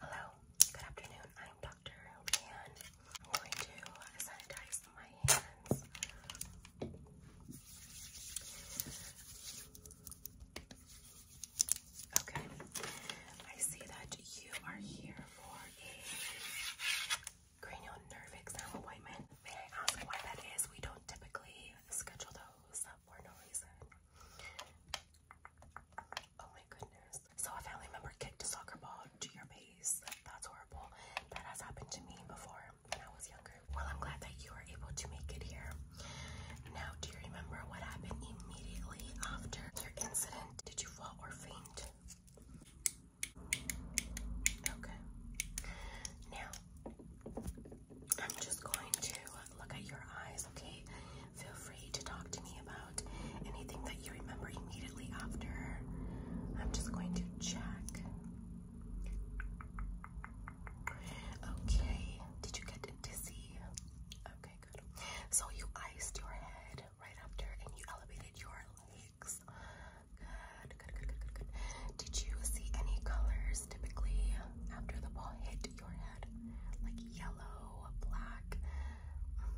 Hello, good afternoon. I'm Dr. Leanne. I'm going to sanitize my hands. Okay, I see that you are here for a cranial nerve exam appointment. May I ask why that is? We don't typically schedule those for no reason. Oh my goodness. So a family member kicked a soccer ball to your base. That's horrible. That has happened to me before when I was younger. Well, I'm glad that you were able to make it here. Now, do you remember what happened immediately after your incident? Did you fall or faint? Okay. Now, I'm just going to uh, look at your eyes, okay? Feel free to talk to me about anything that you remember immediately after. I'm just going to check. Okay, did you get dizzy? Okay, good. So you iced your head right after and you elevated your legs. Good, good, good, good, good, Did you see any colors typically after the ball hit your head, like yellow, black. Um,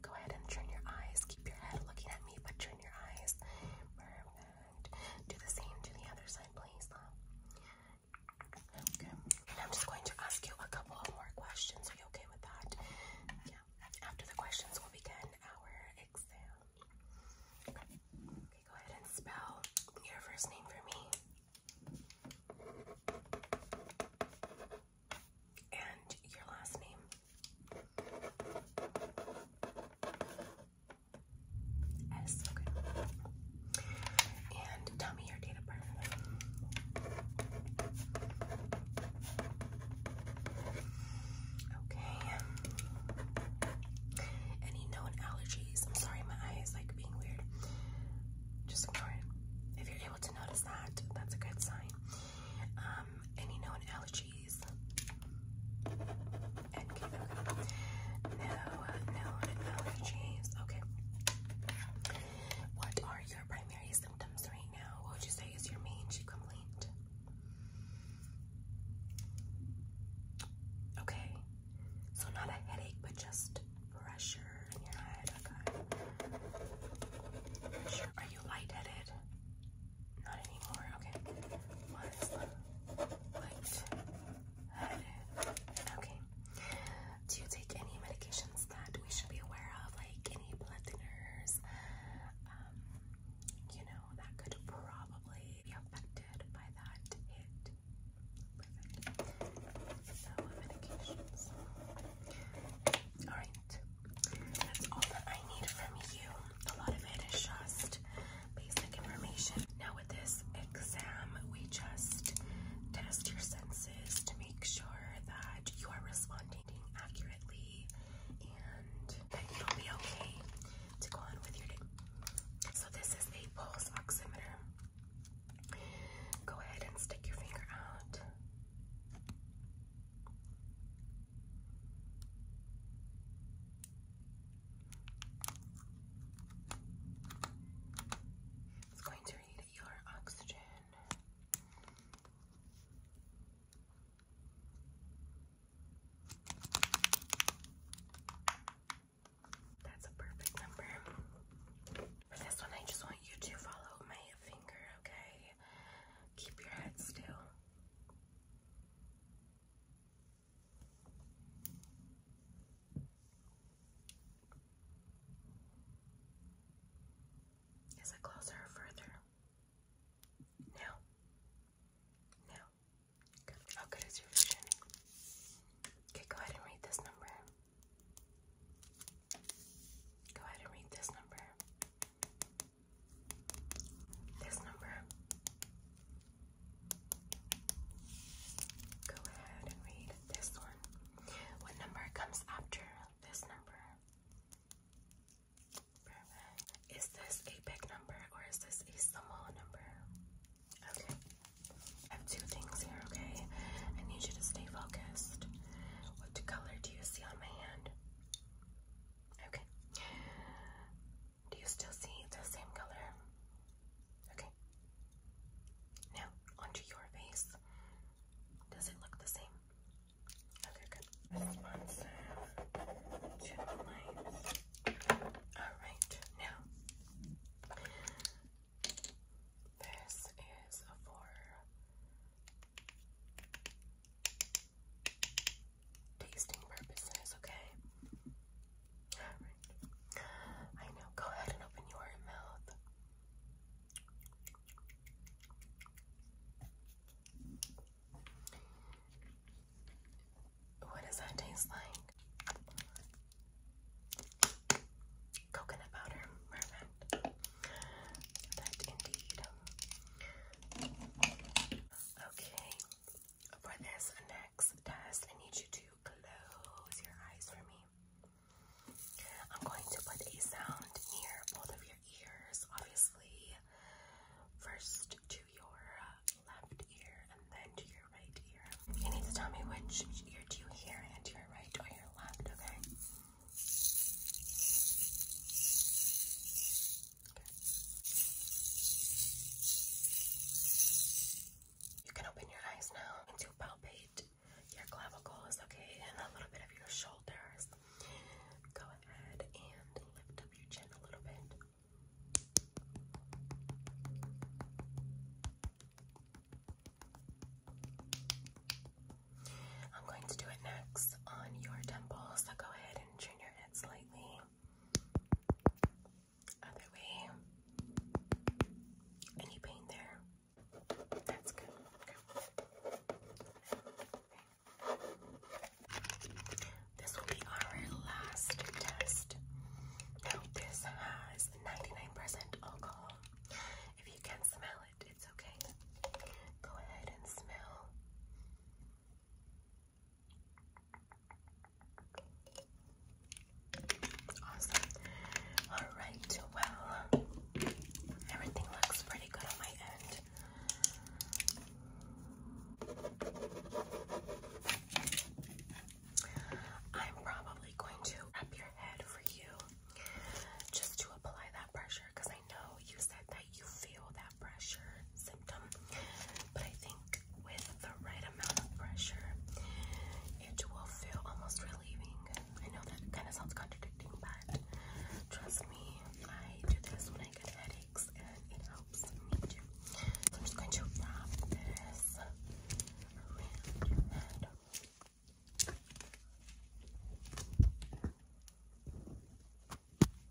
go ahead and turn your eyes. Keep your head looking at me, but turn your eyes. Do the same to the other side, please. Okay. And I'm just going to ask you a couple of more questions. Are you okay with that? Yeah. After the questions, we'll begin our exam. Okay, go ahead and spell your first name for me. And your last name. S, okay. And tell me your date of birth. Okay. Any known allergies? I'm sorry, my eye like being weird. Just ignore it. If you're able to notice that, that's a good sign. Um, any known allergies? And uh, No allergies. Okay. What are your primary symptoms right now? What would you say is your main complaint? Okay, so not a headache, but just pressure in your head. Okay. Pressure. Are you lightheaded? Not anymore. Okay. Was lightheaded. Okay. Do you take any medications that we should be aware of, like any blood thinners? Um, you know, that could probably be affected by that hit. Alright. That's all that I need from you. A lot of it is just basic information. Now, with this exam, we just test your senses to make sure that you are responding accurately and that you'll be okay to go on with your day. So, this is a pulse oximeter. Go ahead and stick your finger out. It's going to read your oxygen. That's a perfect number. For this one, I just want you to follow my finger, okay? Keep your head still. Is it closer or further? No. No. How good is your vision? Okay, go ahead and read this number. Go ahead and read this number. This number. Go ahead and read this one. What number comes after this number? Is this a big number or is this a small number? Okay. I have two things here, okay? I need you to stay focused. What color do you see on my hand? Okay. Do you still see the same color? Okay. Now, onto your face. Does it look the same? Okay, good. Alright, now this is for tasting purposes, okay? I know, go ahead and open your mouth. What does that taste like? Coconut powder, perfect. That indeed. Okay, for this next test, I need you to close your eyes for me. I'm going to put a sound near both of your ears, obviously. First to your left ear and then to your right ear. You need to tell me which ear do you hear in, to your right or your left, okay? Okay. You can open your eyes now and to palpate your clavicles, okay, and a little bit of your shoulders. Go ahead and lift up your chin a little bit. I'm going to do it next on your temples. So go ahead and turn your head slightly. Other way. Any pain there? That's good. This will be our last test. Now, this has 99% alcohol. If you can smell it, it's okay. Go ahead and smell. Awesome. Alright, well, everything looks pretty good on my end. I'm probably going to up your head for you just to apply that pressure I know you said that you feel that pressure symptom, but I think with the right amount of pressure, it will feel almost relieving. I know that kind of sounds contradicting, but trust me, I do this when I get head it helps me too. I'm just going to wrap this around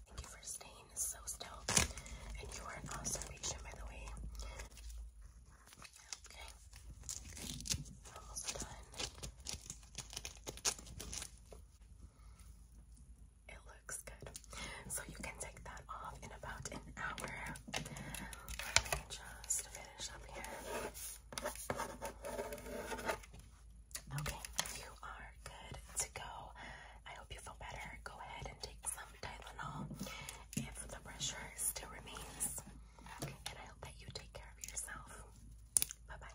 Thank you for staying so still. And you are also patient, by the way. Okay. almost done. It looks good. So you can take that off in about an hour. just finish up here. Okay, you are good to go. I hope you feel better. Go ahead and take some Tylenol if the pressure still remains. And I hope that you take care of yourself. Bye bye.